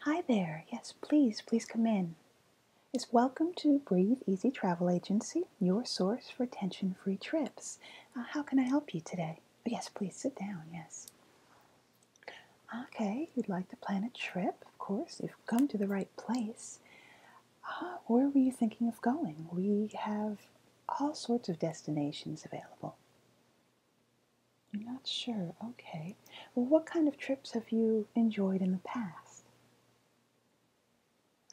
Hi there. Yes, please, please come in. It's welcome to Breathe Easy Travel Agency, your source for tension free trips. Uh, how can I help you today? Oh, yes, please sit down. Yes. Okay, you'd like to plan a trip, of course. You've come to the right place. Uh, where were you thinking of going? We have all sorts of destinations available. You're not sure. Okay. Well, what kind of trips have you enjoyed in the past?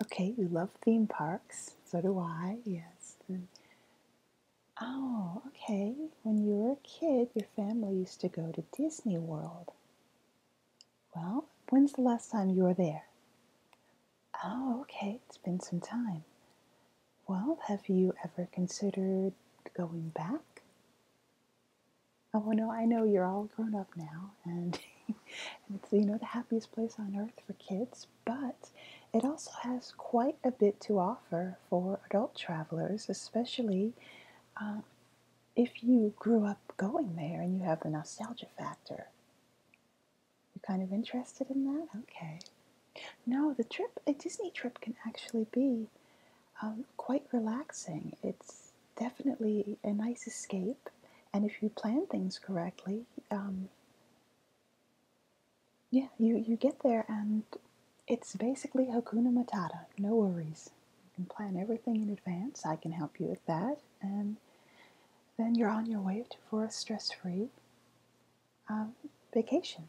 Okay, you love theme parks. So do I, yes. oh, okay. When you were a kid, your family used to go to Disney World. Well, when's the last time you were there? Oh, okay. It's been some time. Well, have you ever considered going back? Oh no, I know you're all grown up now, and, it's you know the happiest place on earth for kids, but it also has quite a bit to offer for adult travelers, especially um, if you grew up going there and you have the nostalgia factor. You're kind of interested in that? Okay. No, the trip, a Disney trip can actually be um, quite relaxing. It's definitely a nice escape, and if you plan things correctly, um, yeah, you, you get there and it's basically hokuna Matata, no worries. You can plan everything in advance, I can help you with that, and then you're on your way to for a stress free uh, vacation.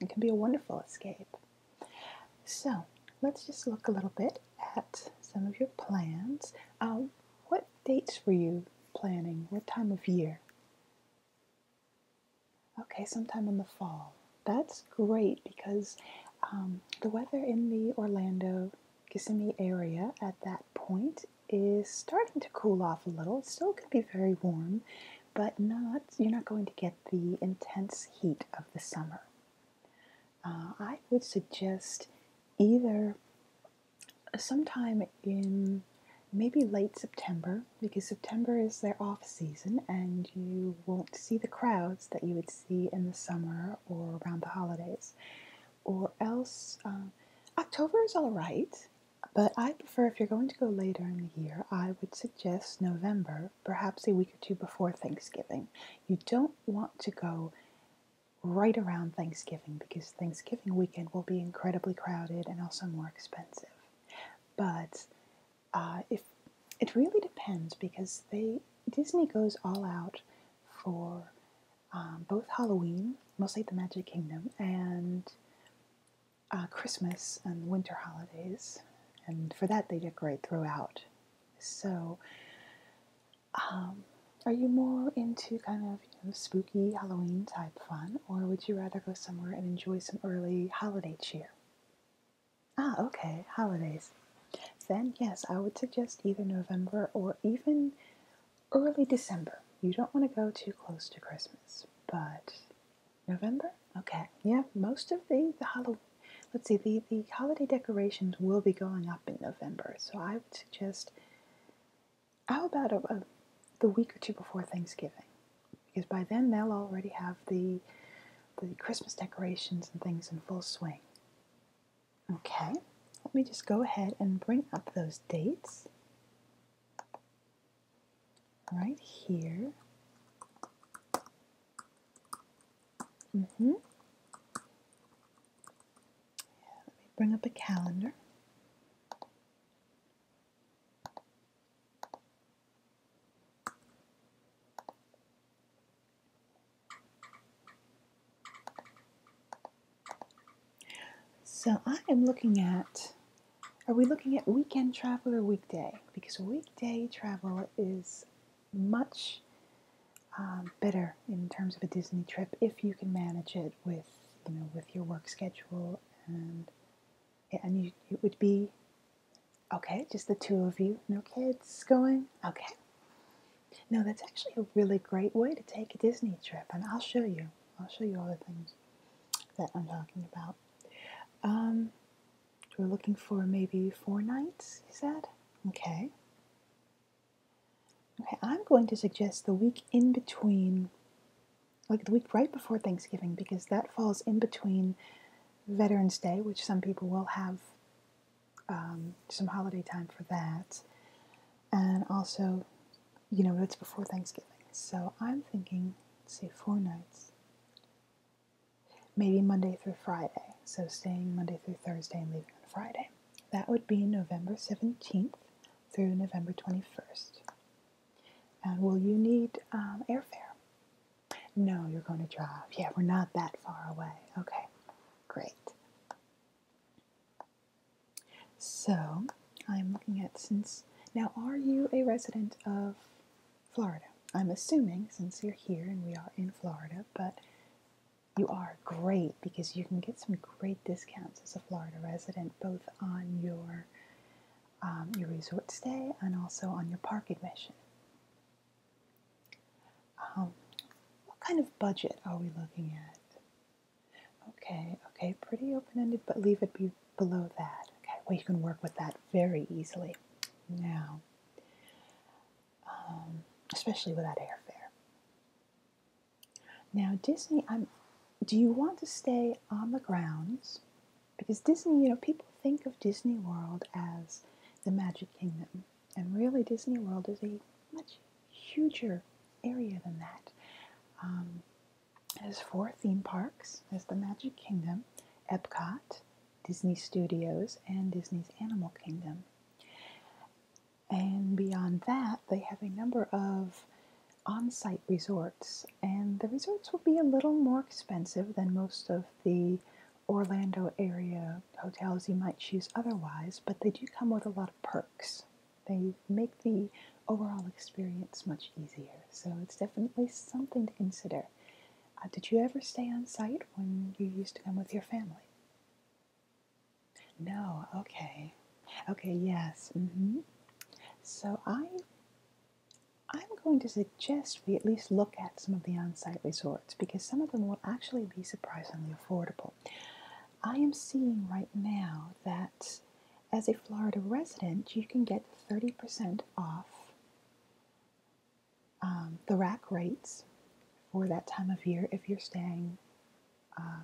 It can be a wonderful escape. So let's just look a little bit at some of your plans. Um, what dates were you planning? What time of year? Okay, sometime in the fall. That's great because um, the weather in the Orlando Kissimmee area at that point is starting to cool off a little. It's still can be very warm, but not you're not going to get the intense heat of the summer. Uh, I would suggest either sometime in maybe late September because September is their off season and you won't see the crowds that you would see in the summer or around the holidays. Or else, uh, October is all right, but I for if you're going to go later in the year, I would suggest November, perhaps a week or two before Thanksgiving. You don't want to go right around Thanksgiving because Thanksgiving weekend will be incredibly crowded and also more expensive. But uh, if it really depends because they Disney goes all out for um, both Halloween, mostly the Magic Kingdom, and uh, Christmas and winter holidays, and for that they decorate throughout. So, um, are you more into kind of spooky Halloween type fun, or would you rather go somewhere and enjoy some early holiday cheer? Ah, okay, holidays. Then, yes, I would suggest either November or even early December. You don't want to go too close to Christmas, but November? Okay. Yeah, most of the, the Halloween, let's see, the, the holiday decorations will be going up in November. So I would suggest, how about a, the week or two before Thanksgiving? Because by then they'll already have the, the Christmas decorations and things in full swing. Okay, let me just go ahead and bring up those dates right here. Mm hmm. let me bring up a calendar. So I am looking at are we looking at weekend travel or weekday? Because weekday travel is much um, better in terms of a Disney trip if you can manage it with you know with your work schedule and and it would be okay just the two of you no kids going okay no that's actually a really great way to take a Disney trip and I'll show you I'll show you all the things that I'm talking about um, we're looking for maybe four nights, he said. Okay. Okay, I'm going to suggest the week in between, like the week right before Thanksgiving, because that falls in between Veterans Day, which some people will have um, some holiday time for that, and also, you know, it's before Thanksgiving. So I'm thinking, let see, four nights maybe Monday through Friday. So staying Monday through Thursday and leaving on Friday. That would be November 17th through November 21st. And will you need um, airfare? No, you're going to drive. Yeah, we're not that far away. Okay, great. So I'm looking at since now, are you a resident of Florida. I'm assuming since you're here and we are in Florida, but you are great because you can get some great discounts as a Florida resident, both on your um, your resort stay and also on your park admission. Um, what kind of budget are we looking at? Okay, okay, pretty open ended, but leave it be below that. Okay, well, you can work with that very easily now, um, especially with that airfare. Now, Disney, I'm, do you want to stay on the grounds? Because Disney, you know, people think of Disney World as the Magic Kingdom, and really, Disney World is a much huger area than that. Um, has four theme parks. There's the Magic Kingdom, Epcot, Disney Studios and Disney's Animal Kingdom. And beyond that, they have a number of on site resorts, and the resorts will be a little more expensive than most of the Orlando area hotels you might choose otherwise, but they do come with a lot of perks. They make the overall experience much easier, so it's definitely something to consider uh, did you ever stay on site when you used to come with your family? No, okay. Okay, yes. Mm-hmm. So I I'm going to suggest we at least look at some of the on-site resorts because some of them will actually be surprisingly affordable. I am seeing right now that as a Florida resident, you can get 30% off um, the rack rates for that time of year if you're staying uh,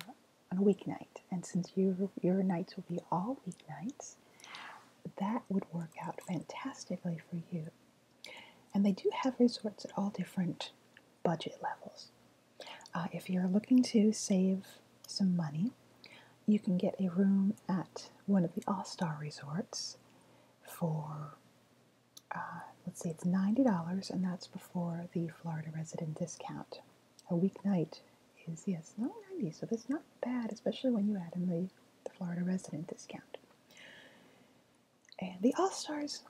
on a weeknight. And since your, your nights will be all weeknights, that would work out fantastically for you. And they do have resorts at all different budget levels. Uh, if you're looking to save some money, you can get a room at one of the All Star resorts for, uh, let's see, it's $90, and that's before the Florida resident discount. A weeknight is, yes, not 90 so that's not bad, especially when you add in the, the Florida resident discount. And the All Stars,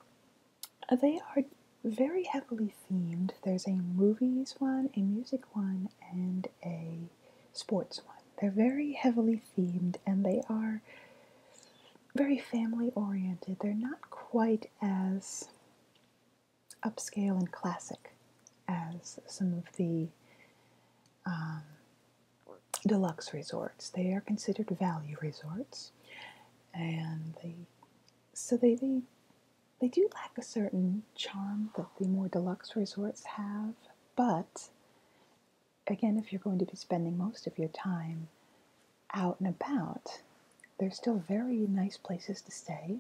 uh, they are very heavily themed. There's a movies one, a music one, and a sports one. They're very heavily themed and they are very family oriented. They're not quite as upscale and classic as some of the um, deluxe resorts. They are considered value resorts, and they so they they do lack a certain charm that the more deluxe resorts have, but again, if you're going to be spending most of your time out and about, there's still very nice places to stay.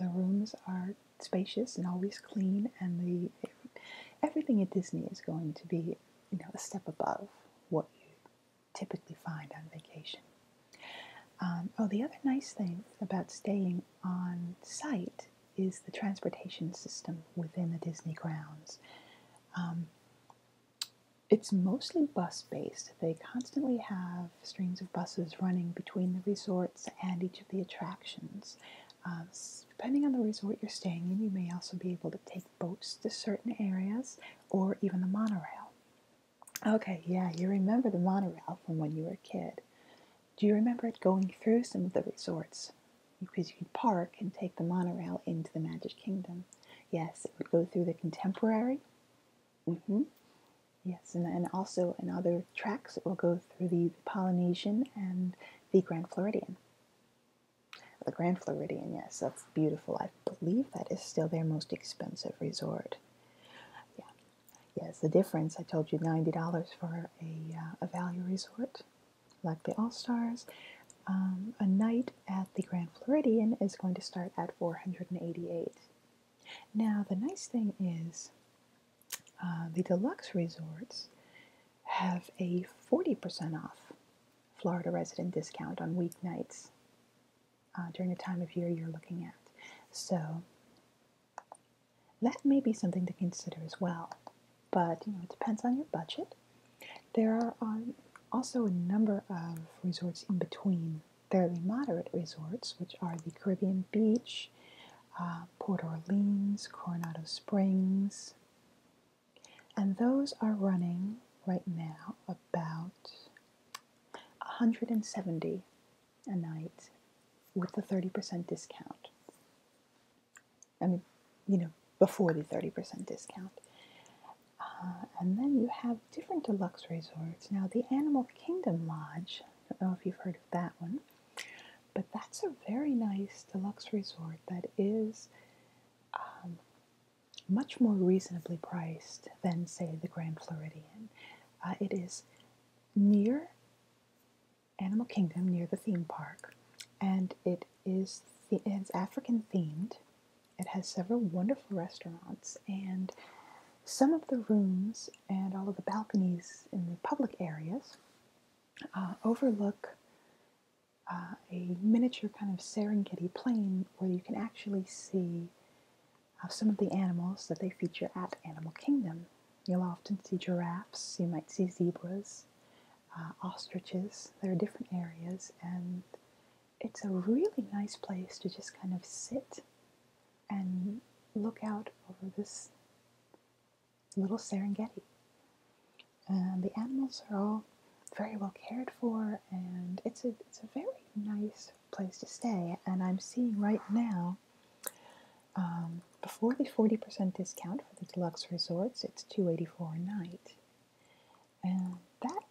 The rooms are spacious and always clean, and the everything at Disney is going to be, you know, a step above what you typically find on vacation. Um, oh, the other nice thing about staying on site is the transportation system within the Disney grounds. Um, it's mostly bus based. They constantly have streams of buses running between the resorts and each of the attractions. Um, depending on the resort you're staying in, you may also be able to take boats to certain areas or even the monorail. Okay, yeah, you remember the monorail from when you were a kid. Do you remember it going through some of the resorts? Because you could park and take the monorail into the Magic Kingdom. Yes, it would go through the Contemporary. hmm Yes, and, and also in other tracks, it will go through the, Polynesian and the Grand Floridian. The Grand Floridian, yes, that's beautiful. I believe that is still their most expensive resort. Yeah, yes, the difference. I told you ninety dollars for a uh, a value resort. Like the All Stars. Um, a night at the Grand Floridian is going to start at 488. Now, the nice thing is uh, the deluxe resorts have a 40% off Florida resident discount on weeknights uh, during the time of year you're looking at. So that may be something to consider as well, but you know, it depends on your budget. There are um, also a number of resorts in between. fairly moderate resorts, which are the Caribbean Beach, uh, Port Orleans, Coronado Springs, and those are running right now about 170 a night with a 30% discount. I mean, you know, before the 30% discount. Uh, and then you have different deluxe resorts. Now, the Animal Kingdom Lodge, I don't know if you've heard of that one, but that's a very nice deluxe resort that is um, much more reasonably priced than, say, the Grand Floridian. Uh, it is near Animal Kingdom near the theme park, and it is it's African themed. It has several wonderful restaurants, and some of the rooms and all of the balconies in the public areas uh, overlook uh, a miniature kind of Serengeti plain where you can actually see uh, some of the animals that they feature at Animal Kingdom. You'll often see giraffes, you might see zebras, uh, ostriches. There are different areas, and it's a really nice place to just kind of sit and look out over this little Serengeti. And the animals are all very well cared for, and it's a, it's a very nice place to stay. And I'm seeing right now um, before the 40% discount for the deluxe resorts, it's 284 a night. And that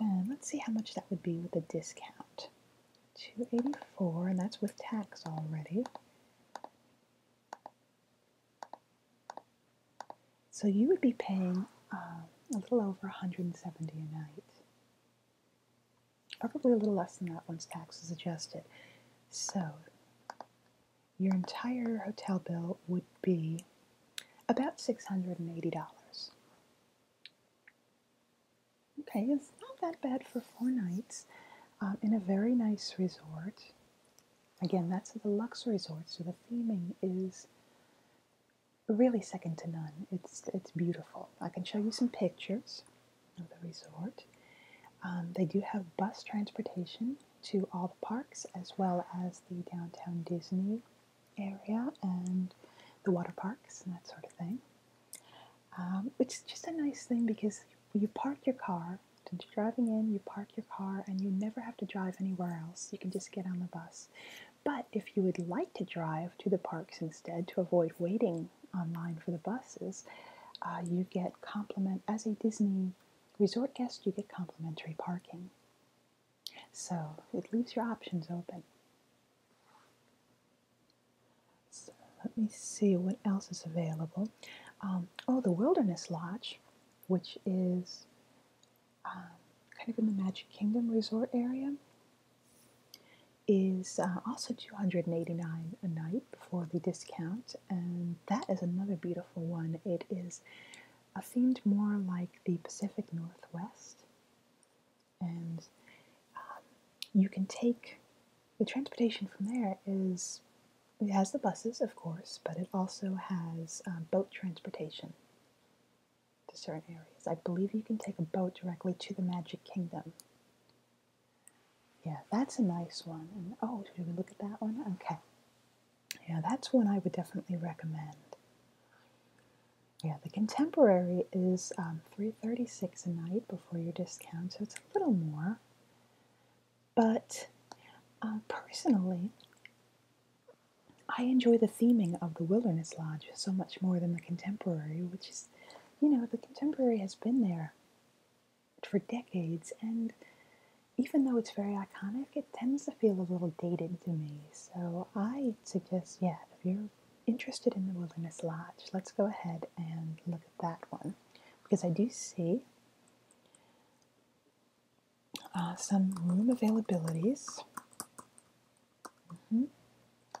then, let's see how much that would be with the discount. 284 and that's with tax already. So you would be paying um, a little over 170 a night. Probably a little less than that once tax is adjusted. So your entire hotel bill would be about $680. Okay, it's not that bad for four nights um, in a very nice resort. Again, that's a deluxe resort, so the theming is really second to none. It's it's beautiful. I can show you some pictures of the resort. Um, they do have bus transportation to all the parks as well as the downtown Disney area and the water parks and that sort of thing. Um, which is just a nice thing because you park your car, since you driving in, you park your car and you never have to drive anywhere else. You can just get on the bus. But if you would like to drive to the parks instead to avoid waiting online for the buses, uh, you get compliment as a Disney Resort guests, you get complimentary parking. So it leaves your options open. let me see what else is available. Um, oh, the Wilderness Lodge, which is um, kind of in the Magic Kingdom resort area, is uh, also 289 a night before the discount and that is another beautiful one. It is a themed more like the Pacific Northwest, and um, you can take the transportation from there. Is it has the buses, of course, but it also has um, boat transportation to certain areas. I believe you can take a boat directly to the Magic Kingdom. Yeah, that's a nice one. oh, should we look at that one? Okay. Yeah, that's one I would definitely recommend. Yeah, the contemporary is um, three thirty-six a night before your discount, so it's a little more. But uh, personally, I enjoy the theming of the Wilderness Lodge so much more than the contemporary, which is, you know, the contemporary has been there for decades, and even though it's very iconic, it tends to feel a little dated to me. So I suggest, yeah, if you're interested in the Wilderness Lodge, let's go ahead and look at that one because I do see uh, some room availabilities. Mm-hmm.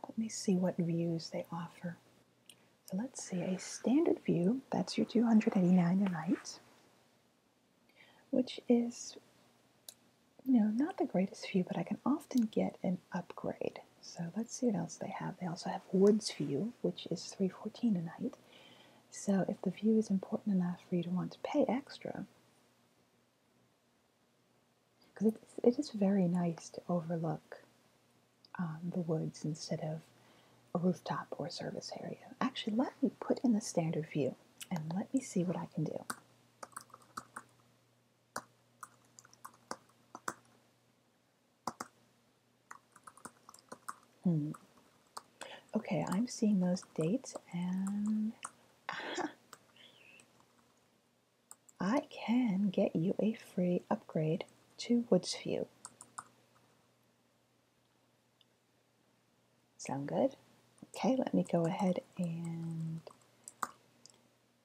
Let me see what views they offer. So let's see, a standard view, that's your 289 right, which is, you know, not the greatest view, but I can often get an upgrade. So let's see what else they have. They also have woods view, which is 314 a night. So if the view is important enough for you to want to pay extra, because it, it is very nice to overlook um, the woods instead of a rooftop or service area. Actually, let me put in the standard view and let me see what I can do. Hmm. Okay, I'm seeing those dates and I can get you a free upgrade to Woodsview. Sound good? Okay, let me go ahead and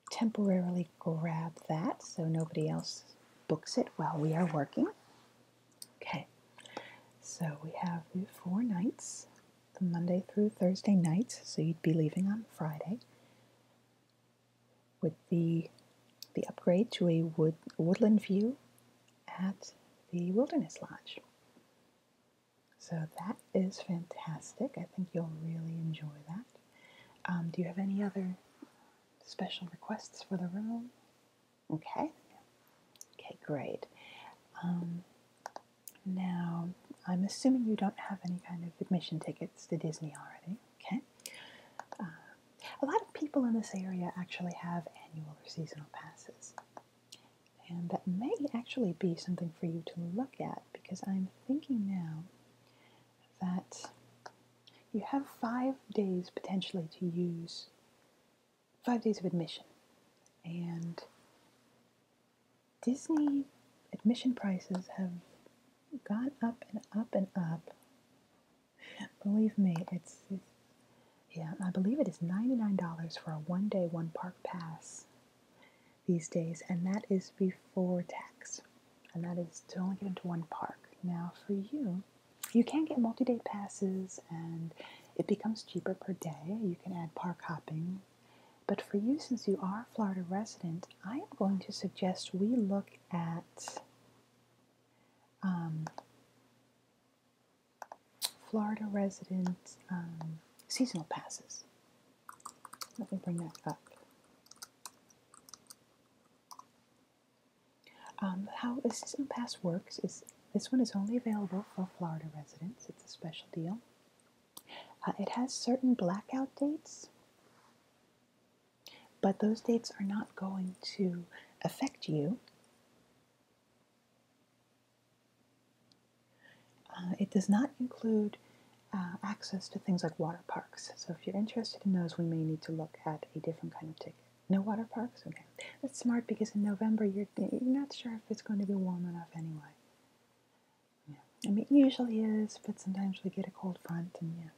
temporarily grab that so nobody else books it while we are working. Okay, so we have the four nights, the Monday through Thursday nights, so you'd be leaving on Friday with the the upgrade to a wood woodland view at the Wilderness Lodge. So that is fantastic. I think you'll really enjoy that. Um, do you have any other special requests for the room? Okay. Okay, great. Um, now, I'm assuming you don't have any kind of admission tickets to Disney already. Okay. Uh, a lot of people in this area actually have annual or seasonal passes. And that may actually be something for you to look at because I'm thinking now that you have five days potentially to use, five days of admission. And Disney admission prices have gone up and up and up Believe me, it's, yeah. I believe it is ninety nine dollars for a one day one park pass these days, and that is before tax, and that is to only get into one park. Now for you, you can get multi day passes, and it becomes cheaper per day. You can add park hopping. But for you, since you are a Florida resident, I am going to suggest we look at um, Florida residents um, seasonal passes. Let me bring that up. Um, how the season pass works is this one is only available for Florida residents. It's a special deal. Uh, it has certain blackout dates, but those dates are not going to affect you uh, it does not include uh, access to things like water parks. So if you're interested in those, we may need to look at a different kind of ticket. No water parks? Okay. That's smart because in November you're, not sure if it's going to be warm enough anyway. I mean, usually is, but sometimes we get a cold front and yeah.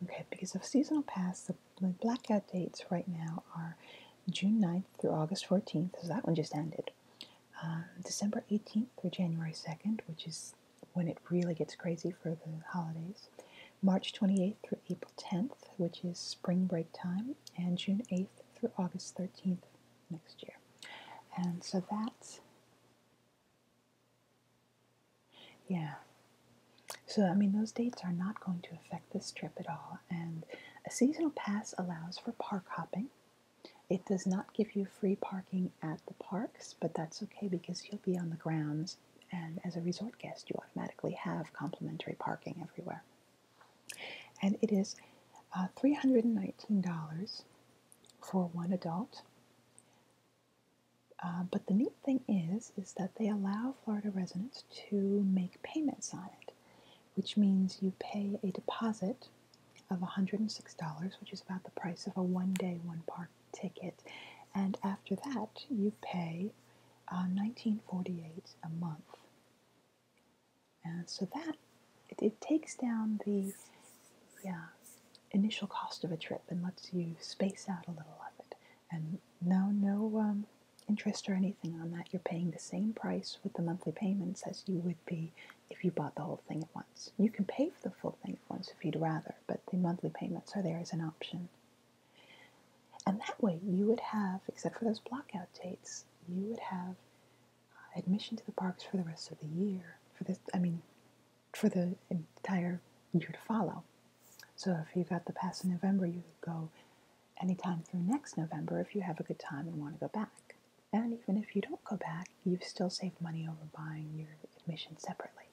Okay, because of seasonal pass, the, blackout dates right now are June 9th through August 14th, so that one just ended. Um, December 18th through January 2nd, which is when it really gets crazy for the holidays. March 28th through April 10th, which is spring break time, and June 8th through August 13th next year. And so that's yeah. So, I mean, those dates are not going to affect this trip at all. And a seasonal pass allows for park hopping. It does not give you free parking at the parks, but that's okay because you'll be on the grounds. And as a resort guest, you automatically have complimentary parking everywhere. And it is uh, $319 for one adult uh, but the neat thing is, is that they allow Florida residents to make payments on it, which means you pay a deposit of $106, which is about the price of a one-day, one-park ticket, and after that you pay uh, 19 a month. And so that it takes down the yeah, initial cost of a trip and lets you space out a little of it and no no um, interest or anything on that. You're paying the same price with the monthly payments as you would be if you bought the whole thing at once. You can pay for the full thing at once if you'd rather, but the monthly payments are there as an option. And that way, you would have, except for those blockout dates, you would have uh, admission to the parks for the rest of the year. For this, I mean, for the entire year to follow. So if you got the pass in November, you could go anytime through next November if you have a good time and want to go back. And even if you don't go back, you've still saved money over buying your admission separately.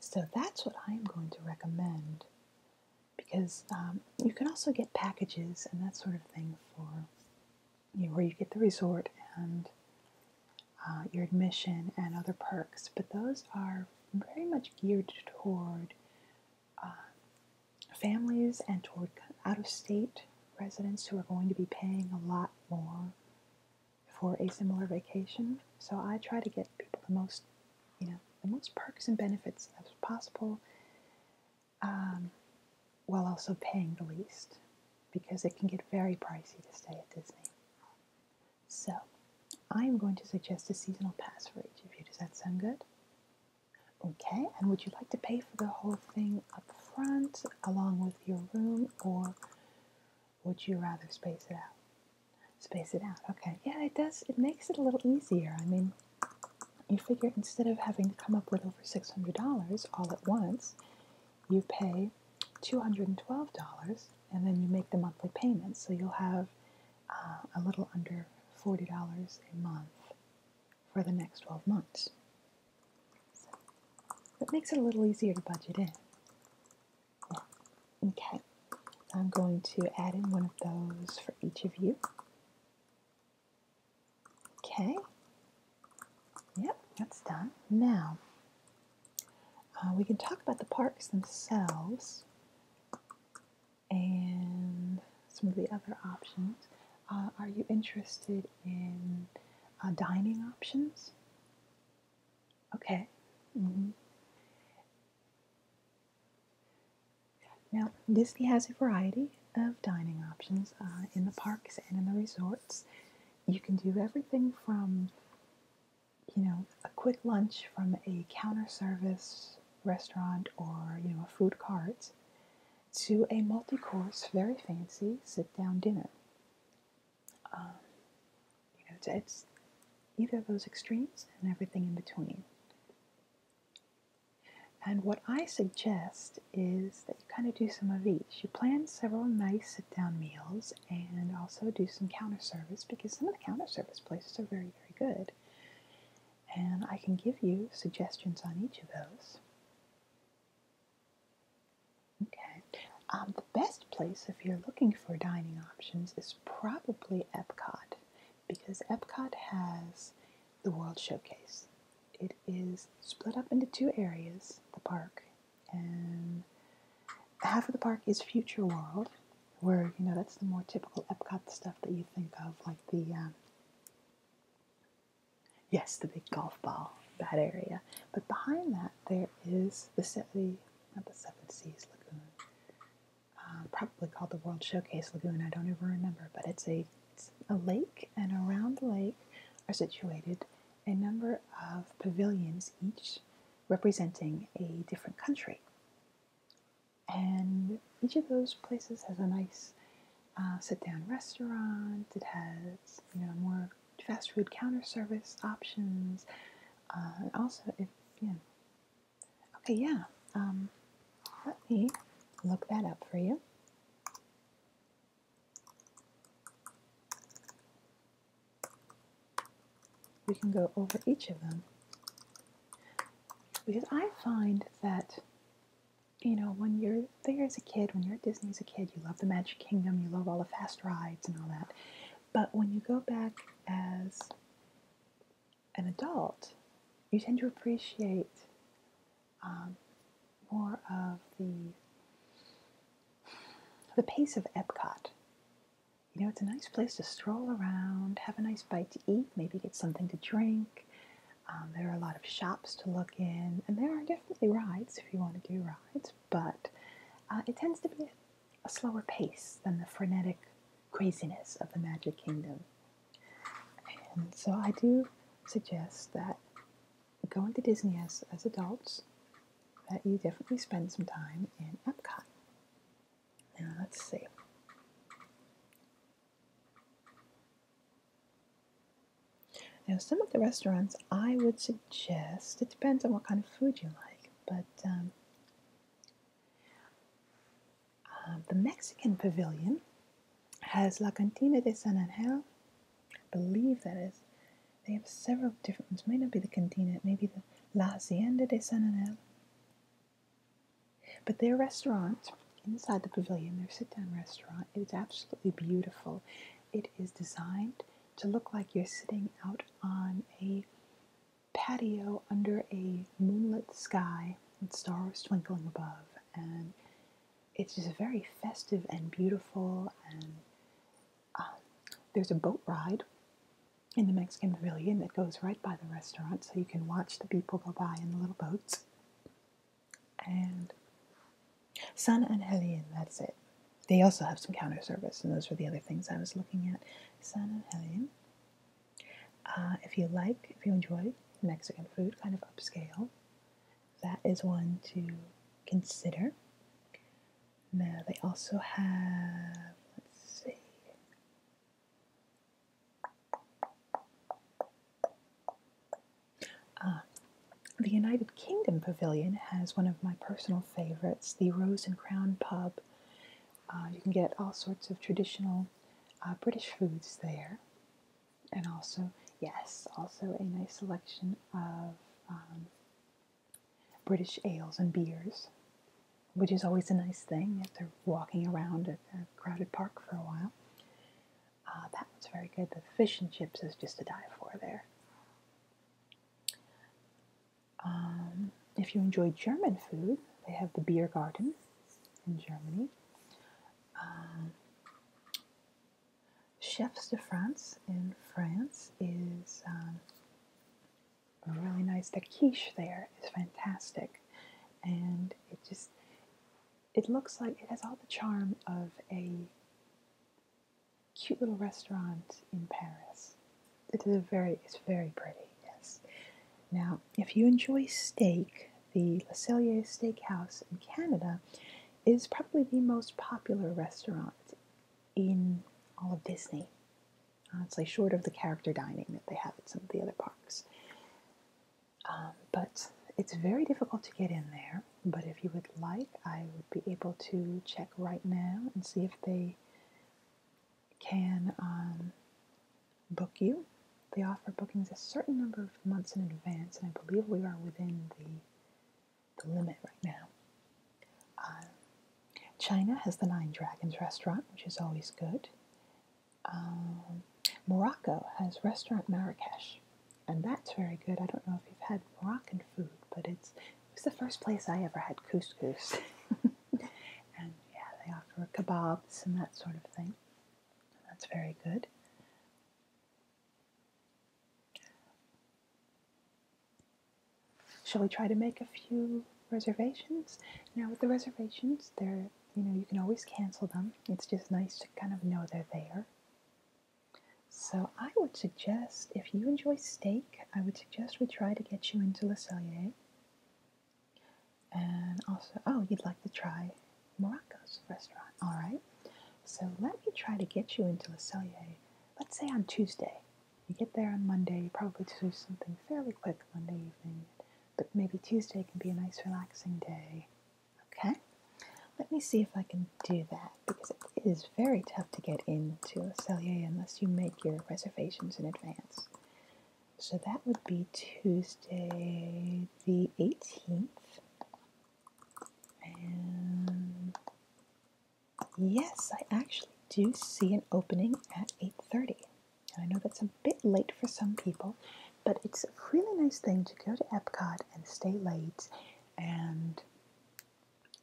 So that's what I'm going to recommend because um, you can also get packages and that sort of thing for where you get the resort and uh, your admission and other perks, but those are very much geared toward uh, families and toward out of state residents who are going to be paying a lot more for a similar vacation. So I try to get people the most, you know, the most perks and benefits as possible um, while also paying the least because it can get very pricey to stay at Disney. So, I'm going to suggest a seasonal pass for each of you. Does that sound good? Okay, and would you like to pay for the whole thing up front along with your room, or would you rather space it out? Space it out, okay. Yeah, it does, it makes it a little easier. I mean, you figure instead of having to come up with over $600 all at once, you pay $212, and then you make the monthly payments, so you'll have uh, a little under $40 a month for the next 12 months. So it makes it a little easier to budget in. Oh, okay, I'm going to add in one of those for each of you. Okay, yep, that's done. Now, uh, we can talk about the parks themselves and some of the other options. Uh, are you interested in uh, dining options? Okay. Mm-hmm. Now, Disney has a variety of dining options in the parks and in the resorts. You can do everything from you know, a quick lunch from a counter service restaurant or, you know, a food cart to a multi course, very fancy sit down dinner. Um, you know, it's, it's either of those extremes and everything in between. And what I suggest is that you kind of do some of each. You plan several nice sit down meals and also do some counter service because some of the counter service places are very, very good. And I can give you suggestions on each of those. Okay, um, the best place if you're looking for dining options is probably Epcot because Epcot has the World Showcase. It is split up into two areas, the park, and half of the park is Future World, where you know that's the more typical Epcot stuff that you think of, like the um, yes, the big golf ball, that area. But behind that, there is the not the Seven Seas Lagoon, uh, probably called the World Showcase Lagoon. I don't even remember, but it's a it's a lake, and around the lake are situated a number of pavilions, each representing a different country. And each of those places has a nice uh, sit-down restaurant. It has you know more fast food counter service options. Uh, and also, if you know, okay, yeah, um, let me look that up for you we can go over each of them because I find that you know when you're there as a kid, when you're at Disney as a kid, you love the Magic Kingdom, you love all the fast rides and all that. But when you go back as an adult, you tend to appreciate um, more of the the pace of Epcot you know, it's a nice place to stroll around, have a nice bite to eat, maybe get something to drink. Um, there are a lot of shops to look in, and there are definitely rides if you want to do rides, but uh, it tends to be a slower pace than the frenetic craziness of the Magic Kingdom. And so I do suggest that going to Disney as, as adults that you definitely spend some time in Epcot. Now let's see. Now, some of the restaurants I would suggest, it depends on what kind of food you like, but um, um, the Mexican Pavilion has La Cantina de San Angel, I believe that is, they have several different ones. Might not be the Cantina, it may be the La Hacienda de San Anel. But their restaurant inside the pavilion, their sit down restaurant, is absolutely beautiful. It is designed to look like you're sitting out on a patio under a moonlit sky with stars twinkling above. And it's just very festive and beautiful. And uh, there's a boat ride in the Mexican pavilion that goes right by the restaurant, so you can watch the people go by in the little boats. And San Angelin, that's it. They also have some counter service, and those were the other things I was looking at. San Angelin. Uh, if you like, if you enjoy Mexican food, kind of upscale, that is one to consider. Now they also have, let's see. Ah, the United Kingdom Pavilion has one of my personal favorites, the Rose and Crown Pub. Ah, you can get all sorts of traditional ah, British foods there. And also, yes, also a nice selection of um, British ales and beers, which is always a nice thing if they're walking around a, a crowded park for a while. Uh, that was very good. The fish and chips is just to die for there. Um, if you enjoy German food, they have the beer garden in Germany. Um, Chefs de France in France is um, really nice. The quiche there is fantastic, and it just it looks like it has all the charm of a cute little restaurant in Paris. It is very it's very pretty. Yes. Now, if you enjoy steak, the Le Cellier Steakhouse in Canada is probably the most popular restaurant in all of Disney honestly, short of the character dining that they have at some of the other parks. Um, but it's very difficult to get in there. But if you would like, I would be able to check right now and see if they can um, book you. They offer bookings a certain number of months in advance, and I believe we are within the, the limit right now. Um, China has the Nine Dragons restaurant, which is always good. Um, Morocco has restaurant Marrakesh, and that's very good. I don't know if you've had Moroccan food, but it's it was the first place I ever had couscous, and yeah, they offer kebabs and that sort of thing. That's very good. Shall we try to make a few reservations? Now, with the reservations, there, you know you can always cancel them. It's just nice to kind of know they're there. So I would suggest if you enjoy steak, I would suggest we try to get you into La Cellier. And also, oh, you'd like to try Morocco's restaurant. All right. So let me try to get you into La Cellier, let's say on Tuesday. You get there on Monday, you probably do something fairly quick Monday evening, but maybe Tuesday can be a nice relaxing day. Okay? Let me see if I can do that because it is very tough to get into a Cellier unless you make your reservations in advance. So that would be Tuesday the 18th. And Yes, I actually do see an opening at 8.30. I know that's a bit late for some people, but it's a really nice thing to go to Epcot and stay late and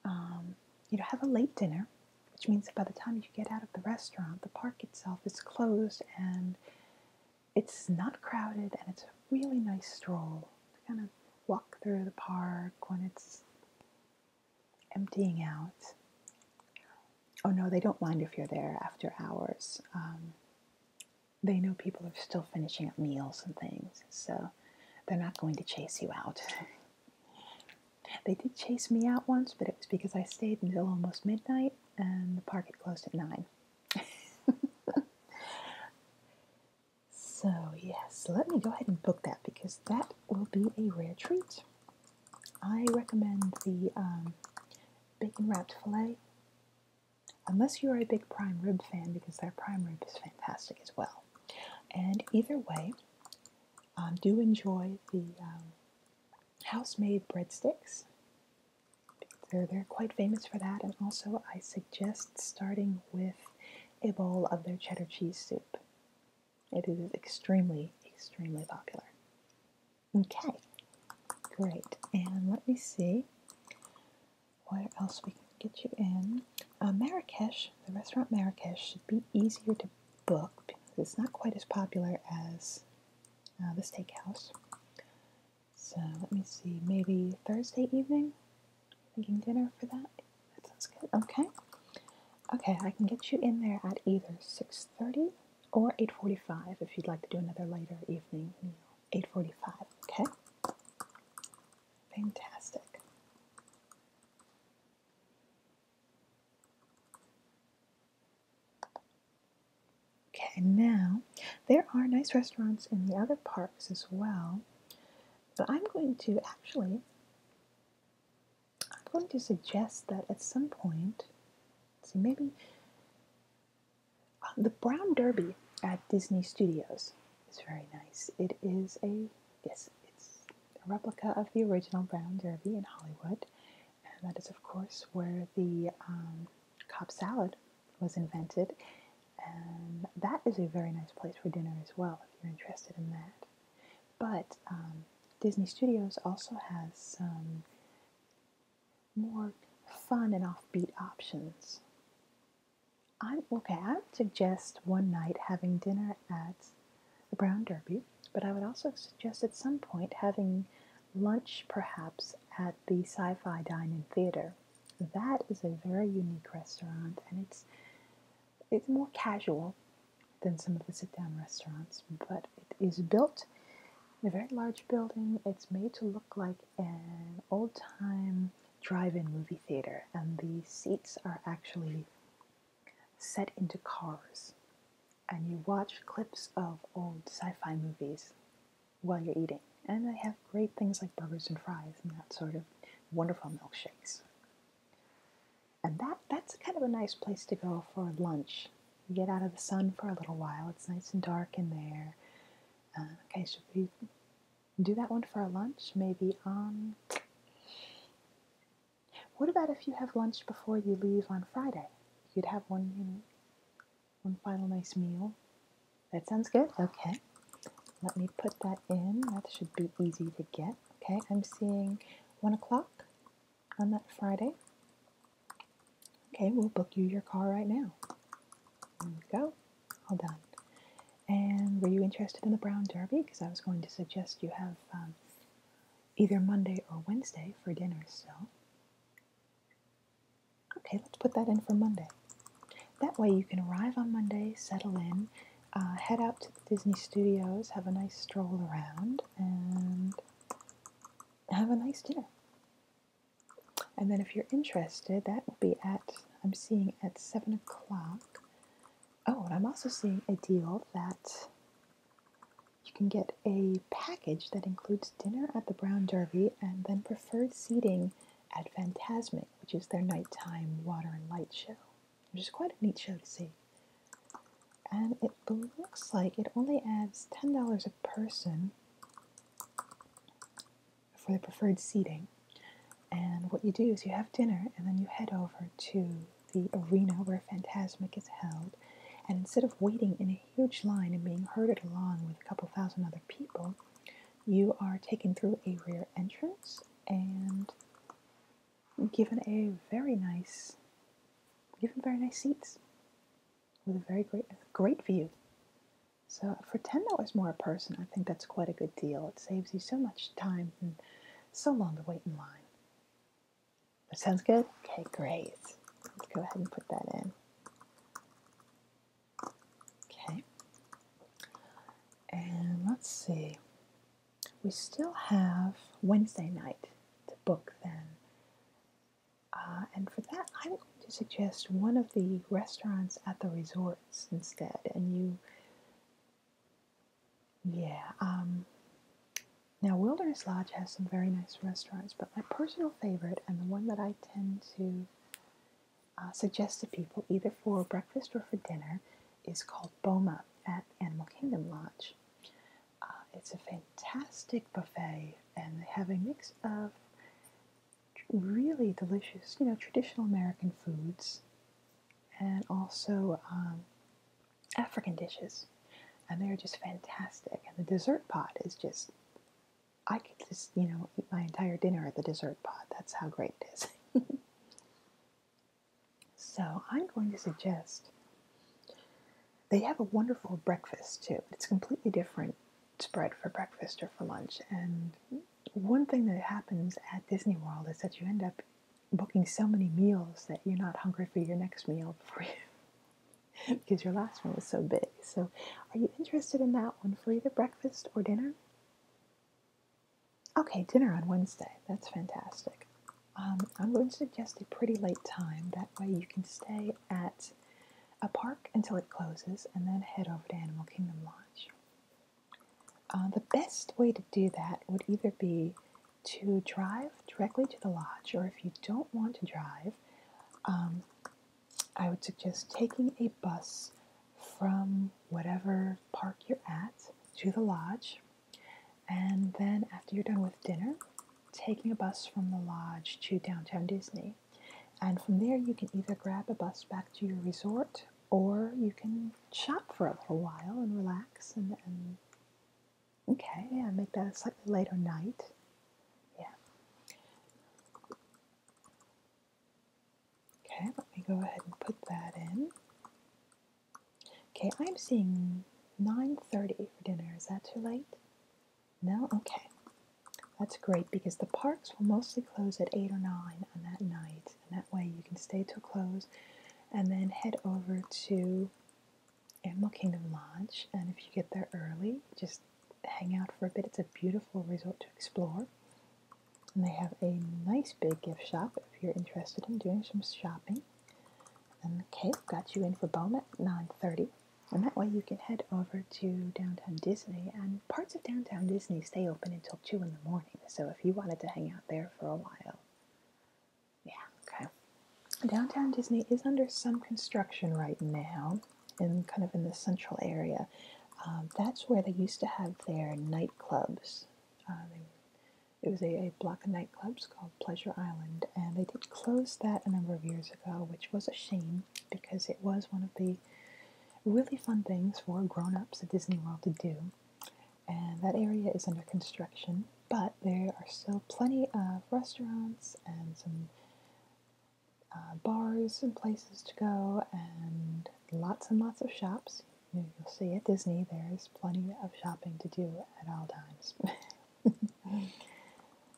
um, you know, have a late dinner, which means that by the time you get out of the restaurant, the park itself is closed and it's not crowded and it's a really nice stroll to kind of walk through the park when it's emptying out. Oh no, they don't mind if you're there after hours. Um, they know people are still finishing up meals and things, so they're not going to chase you out. they did chase me out once, but it was because I stayed until almost midnight and the park had closed at 9. so, yes, let me go ahead and book that because that will be a rare treat. I recommend the um, bacon wrapped filet, unless you are a big prime rib fan, because their prime rib is fantastic as well. And either way, um, do enjoy the um, house-made breadsticks. they're quite famous for that, and also I suggest starting with a bowl of their cheddar cheese soup. It is extremely, extremely popular. Okay, great. And let me see where else we can get you in. Uh, Marrakesh, the restaurant Marrakesh, should be easier to book because it's not quite as popular as uh, the steakhouse. So let me see, maybe Thursday evening? Thinking dinner for that? That sounds good. Okay. Okay, I can get you in there at either 6.30 or 8.45 if you'd like to do another later evening meal. 8.45, okay? Fantastic. Okay, now there are nice restaurants in the other parks as well, but I'm going to actually I'm going to suggest that at some point, see maybe uh, the Brown Derby at Disney Studios is very nice. It is a yes, it's a replica of the original Brown Derby in Hollywood, and that is of course where the um, Cobb salad was invented. And that is a very nice place for dinner as well if you're interested in that. But um, Disney Studios also has some more fun and offbeat options. i okay. I would suggest one night having dinner at the Brown Derby, but I would also suggest at some point having lunch perhaps at the Sci Fi Dining Theater. That is a very unique restaurant and it's it's more casual than some of the sit down restaurants, but it is built in a very large building. It's made to look like an old time drive in movie theater, and the seats are actually set into cars. And you watch clips of old sci fi movies while you're eating. And they have great things like burgers and fries and that sort of wonderful milkshakes. And that, that's kind of a nice place to go for lunch. You get out of the sun for a little while. It's nice and dark in there. Uh, okay, should we do that one for our lunch? Maybe um, What about if you have lunch before you leave on Friday? You would have one, you know, one final nice meal. That sounds good. Okay, let me put that in. That should be easy to get. Okay, I'm seeing one o'clock on that Friday. Okay, we'll book you your car right now. There we go. All done. And were you interested in the Brown Derby? Because I was going to suggest you have um, either Monday or Wednesday for dinner still. Okay, let's put that in for Monday. That way you can arrive on Monday, settle in, uh, head out to the Disney Studios, have a nice stroll around, and have a nice dinner. And then, if you're interested, that will be at I'm seeing at seven o'clock. Oh, and I'm also seeing a deal that you can get a package that includes dinner at the Brown Derby and then preferred seating at Fantasmic, which is their nighttime water and light show which is quite a neat show to see. And it looks like it only adds $10 a person for the preferred seating. And what you do is you have dinner and then you head over to the arena where Phantasmic is held. And instead of waiting in a huge line and being herded along with a couple thousand other people, you are taken through a rear entrance and given a very nice, given very nice seats with a very great, great view. So for ten dollars more a person, I think that's quite a good deal. It saves you so much time and so long to wait in line. That sounds good. Okay, great. Let's go ahead and put that in. Okay, and let's see. We still have Wednesday night to book then. Uh, and for that, I'm going to suggest one of the restaurants at the resorts instead. And you, yeah. Um, now, Wilderness Lodge has some very nice restaurants, but my personal favorite and the one that I tend to uh, suggest to people, either for breakfast or for dinner, is called Boma at Animal Kingdom Lodge. Uh, it's a fantastic buffet, and they have a mix of really delicious, you know, traditional American foods and also um, African dishes. And they're just fantastic. And the dessert pot is just, I could just, you know, eat my entire dinner at the dessert pot. That's how great it is. So I'm going to suggest they have a wonderful breakfast too. It's completely different spread for breakfast or for lunch. And one thing that happens at Disney World is that you end up booking so many meals that you're not hungry for your next meal before you because your last one was so big. So are you interested in that one for either breakfast or dinner? Okay, dinner on Wednesday. That's fantastic. I'm going to suggest a pretty late time. That way you can stay at a park until it closes and then head over to Animal Kingdom Lodge. Uh, the best way to do that would either be to drive directly to the lodge, or if you don't want to drive, um, I would suggest taking a bus from whatever park you're at to the lodge and then, after you're done with dinner, taking a bus from the lodge to downtown Disney. And from there, you can either grab a bus back to your resort or you can shop for a little while and relax and, okay, I make that a slightly later night. Yeah. Okay, let me go ahead and put that in. Okay, I'm seeing 9.30 for dinner. Is that too late? No? Okay. That's great because the parks will mostly close at 8 or 9 on that night. And that way you can stay till close and then head over to Animal Kingdom Lodge. And if you get there early, just hang out for a bit. It's a beautiful resort to explore. And they have a nice big gift shop if you're interested in doing some shopping. Okay, got you in for Beaumont 9:30, and that way you can head over to downtown Disney. And parts of downtown Disney stay open until two in the morning. So if you wanted to hang out there for a while, yeah, okay. Downtown Disney is under some construction right now, in kind of in the central area. Um, that's where they used to have their nightclubs. Um, it was a, a block of nightclubs called Pleasure Island, and they did close that a number of years ago, which was a shame because it was one of the really fun things for grown ups at Disney World to do. And that area is under construction, but there are still plenty of restaurants and some uh, bars and places to go, and lots and lots of shops. You'll see at Disney there's plenty of shopping to do at all times.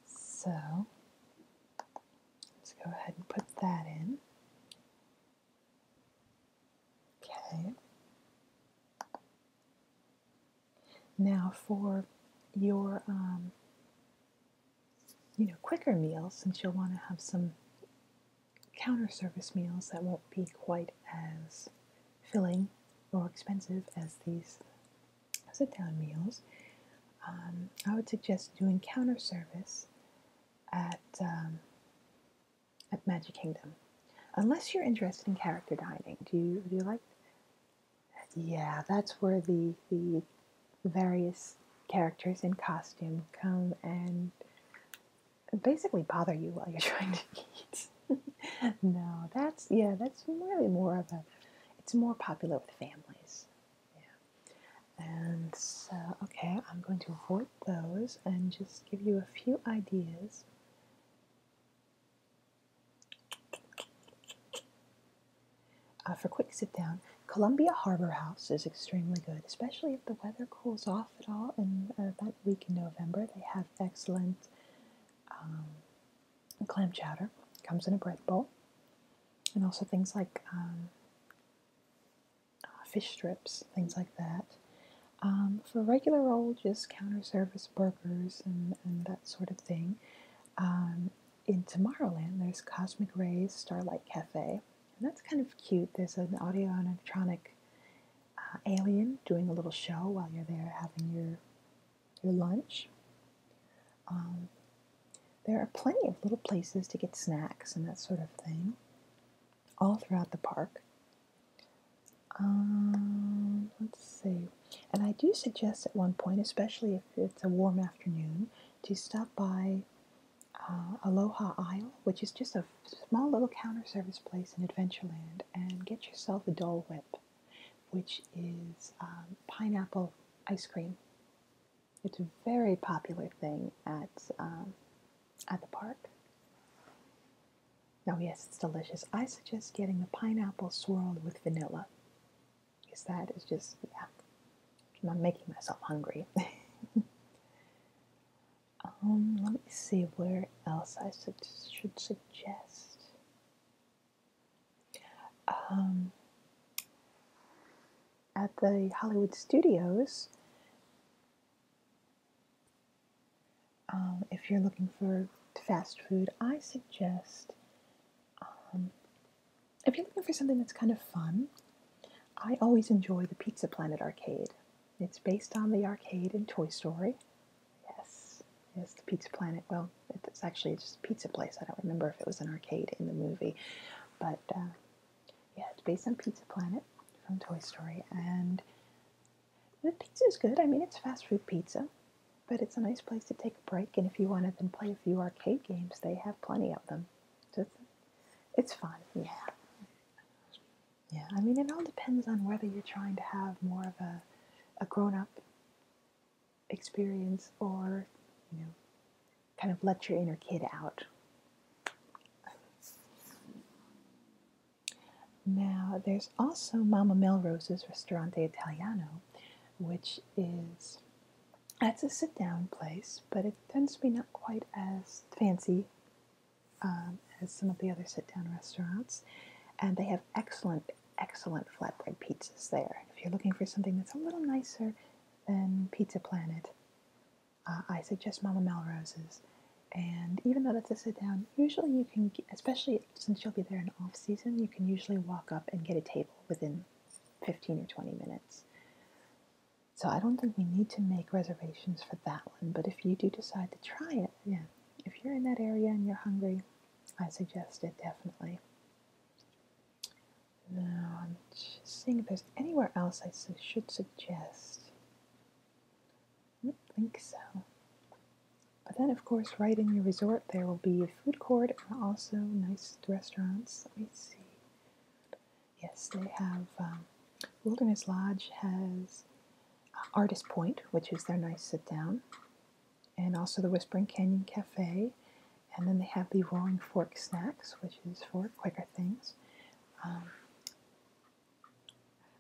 so let's go ahead and put that in. Okay. Now for your um, you know quicker meals, since you'll want to have some counter service meals that won't be quite as filling or expensive as these sit-down meals, um, I would suggest doing counter service at um, at Magic Kingdom, unless you're interested in character dining. Do you do you like? Yeah, that's where the the various characters in costume come and basically bother you while you're trying to eat. no, that's yeah, that's really more of a. It's more popular with families. Yeah. And so, okay, I'm going to avoid those and just give you a few ideas. Uh, for quick sit down, Columbia Harbor House is extremely good, especially if the weather cools off at all. In uh, that week in November, they have excellent um, clam chowder. comes in a bread bowl, and also things like um, uh, fish strips, things like that. Um, for regular old, just counter service burgers and, and that sort of thing. in Tomorrowland, there's Cosmic Rays Starlight Cafe, and that's kind of cute. There's an audio and electronic uh, alien doing a little show while you're there having your your lunch. Um, there are plenty of little places to get snacks and that sort of thing all throughout the park. Um, let's see. And I do suggest at one point, especially if it's a warm afternoon, to stop by uh, Aloha Isle, which is just a small little counter service place in Adventureland, and get yourself a Dole Whip which is um, pineapple ice cream. It's a very popular thing at um, at the park. Oh yes, it's delicious. I suggest getting the pineapple swirled with vanilla, because that is just yeah. I'm making myself hungry. um, let me see where else I should, should suggest? Um, at the Hollywood studios, um, if you're looking for fast food, I suggest um, if you're looking for something that's kind of fun, I always enjoy the Pizza Planet arcade. It's based on the arcade in Toy Story. Yes, yes, the Pizza Planet. Well, it's actually just pizza place. I don't remember if it was an arcade in the movie, but uh, yeah, it's based on Pizza Planet from Toy Story, and the pizza is good. I mean, it's fast food pizza, but it's a nice place to take a break. And if you want to then play a few arcade games, they have plenty of them. it's fun. Yeah. Yeah, I mean, it all depends on whether you're trying to have more of a, a grown up experience or, you know, kind of let your inner kid out. Now, there's also Mama Melrose's Restaurante Italiano, which is that's a sit down place, but it tends to be not quite as fancy um, as some of the other sit-down restaurants, and they have excellent, excellent flatbread pizzas there. If you're looking for something that's a little nicer than Pizza Planet, uh, I suggest Mama Melrose's. And even though that's a sit-down, usually you can, especially since you'll be there in off-season, you can usually walk up and get a table within 15 or 20 minutes. So I don't think we need to make reservations for that one, but if you do decide to try it, yeah, if you're in that area and you're hungry, I suggest it definitely. Now, I'm just seeing if there's anywhere else I should suggest. I don't think so. But then, of course, right in your resort, there will be a food court and also nice restaurants. Let me see. Yes, they have um, Wilderness Lodge has Artist Point, which is their nice sit down, and also the Whispering Canyon Cafe. And then they have the Roaring Fork Snacks, which is for quicker things. Um,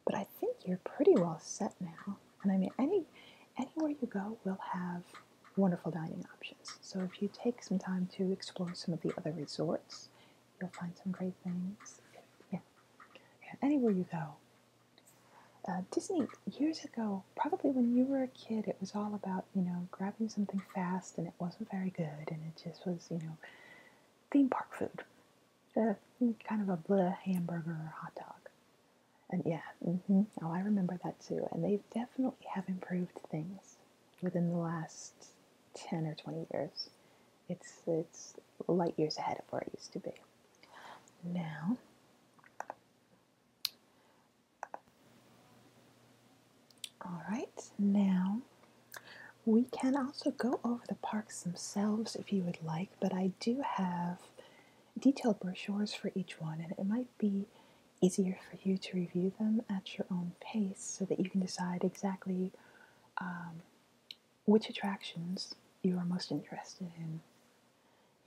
but I think you're pretty well set now. And I mean, any anywhere you go will have wonderful dining options. So if you take some time to explore some of the other resorts, you'll find some great things. yeah anywhere you go, uh, Disney years ago, probably when you were a kid, it was all about you know grabbing something fast, and it wasn't very good, and it just was you know theme park food, uh, kind of a bleh hamburger or hot dog. And yeah, mm-hmm. oh, I remember that too. And they definitely have improved things within the last ten or twenty years. It's it's light years ahead of where it used to be. Now, all right, now we can also go over the parks themselves if you would like, but I do have detailed brochures for each one, and it might be easier for you to review them at your own pace so that you can decide exactly um, which attractions you are most interested in.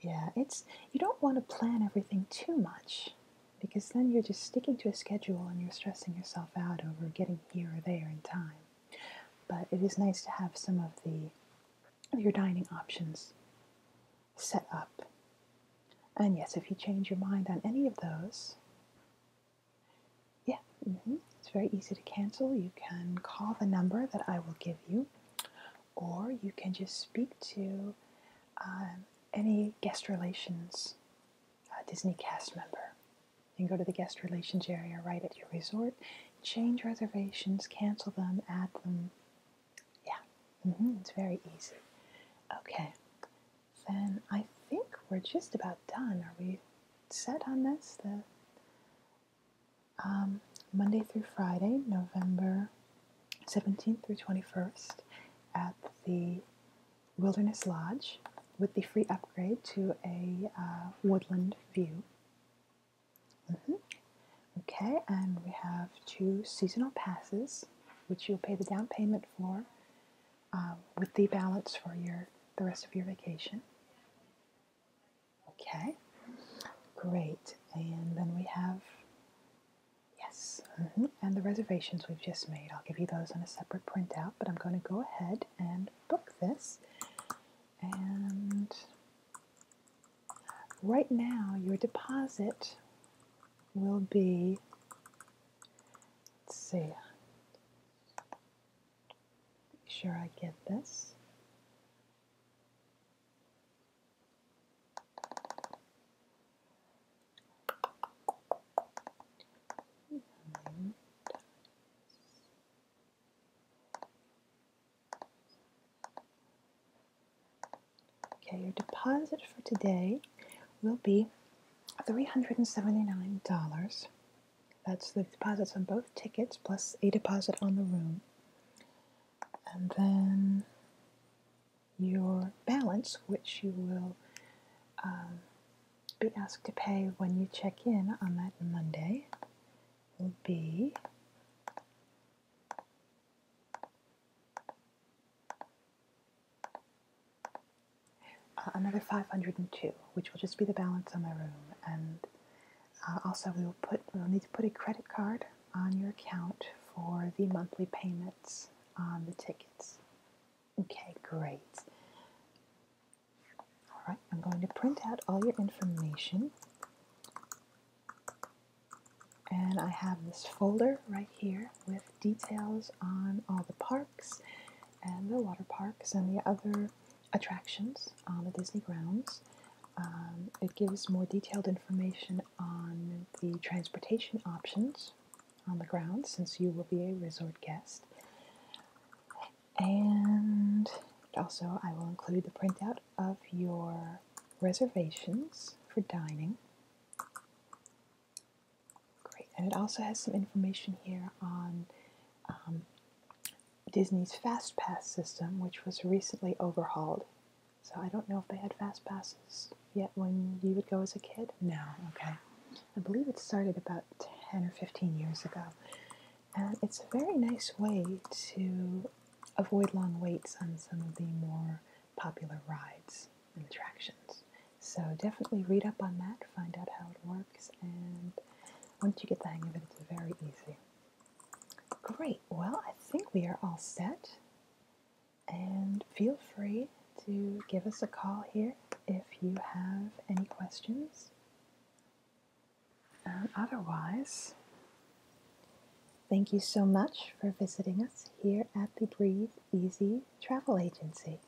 Yeah, it's you don't want to plan everything too much because then you're just sticking to a schedule and you're stressing yourself out over getting here or there in time. But it is nice to have some of the of your dining options set up. And yes, if you change your mind on any of those, yeah, mm-hmm. It's very easy to cancel. You can call the number that I will give you, or you can just speak to um, any guest relations uh, Disney cast member. You can go to the guest relations area right at your resort, change reservations, cancel them, add them. Yeah, mm-hmm. it's very easy. Okay, then I think we're just about done. Are we set on this? The um, Monday through Friday, November 17th through 21st, at the Wilderness Lodge with the free upgrade to a uh, woodland view. Mm-hmm. Okay, and we have two seasonal passes, which you'll pay the down payment for, uh, with the balance for your the rest of your vacation. Okay, great. And then we have, yes, mm-hmm, and the reservations we've just made. I'll give you those on a separate printout, but I'm going to go ahead and book this. And right now, your deposit will be, let's see, make sure I get this. Okay, your deposit for today will be 379 dollars that's the deposits on both tickets plus a deposit on the room. And then your balance, which you will um, be asked to pay when you check in on that Monday, will be another 502, which will just be the balance on my room. And uh, also, we will put we'll need to put a credit card on your account for the monthly payments on the tickets. Okay, great. All right, I'm going to print out all your information. And I have this folder right here with details on all the parks and the water parks and the other attractions on the Disney grounds. Um, it gives more detailed information on the transportation options on the grounds since you will be a resort guest. And also, I will include the printout of your reservations for dining. Great, and it also has some information here on um, Disney's Fast Pass system, which was recently overhauled. So I don't know if they had Fast Passes yet when you would go as a kid. No, okay. I believe it started about 10 or 15 years ago. And it's a very nice way to avoid long waits on some of the more popular rides and attractions. So definitely read up on that, find out how it works, and once you get the hang of it, it's very easy. Great, well, I think we are all set. And feel free to give us a call here if you have any questions. otherwise, thank you so much for visiting us here at the Breathe Easy Travel Agency.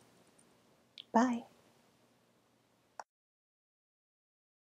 Bye.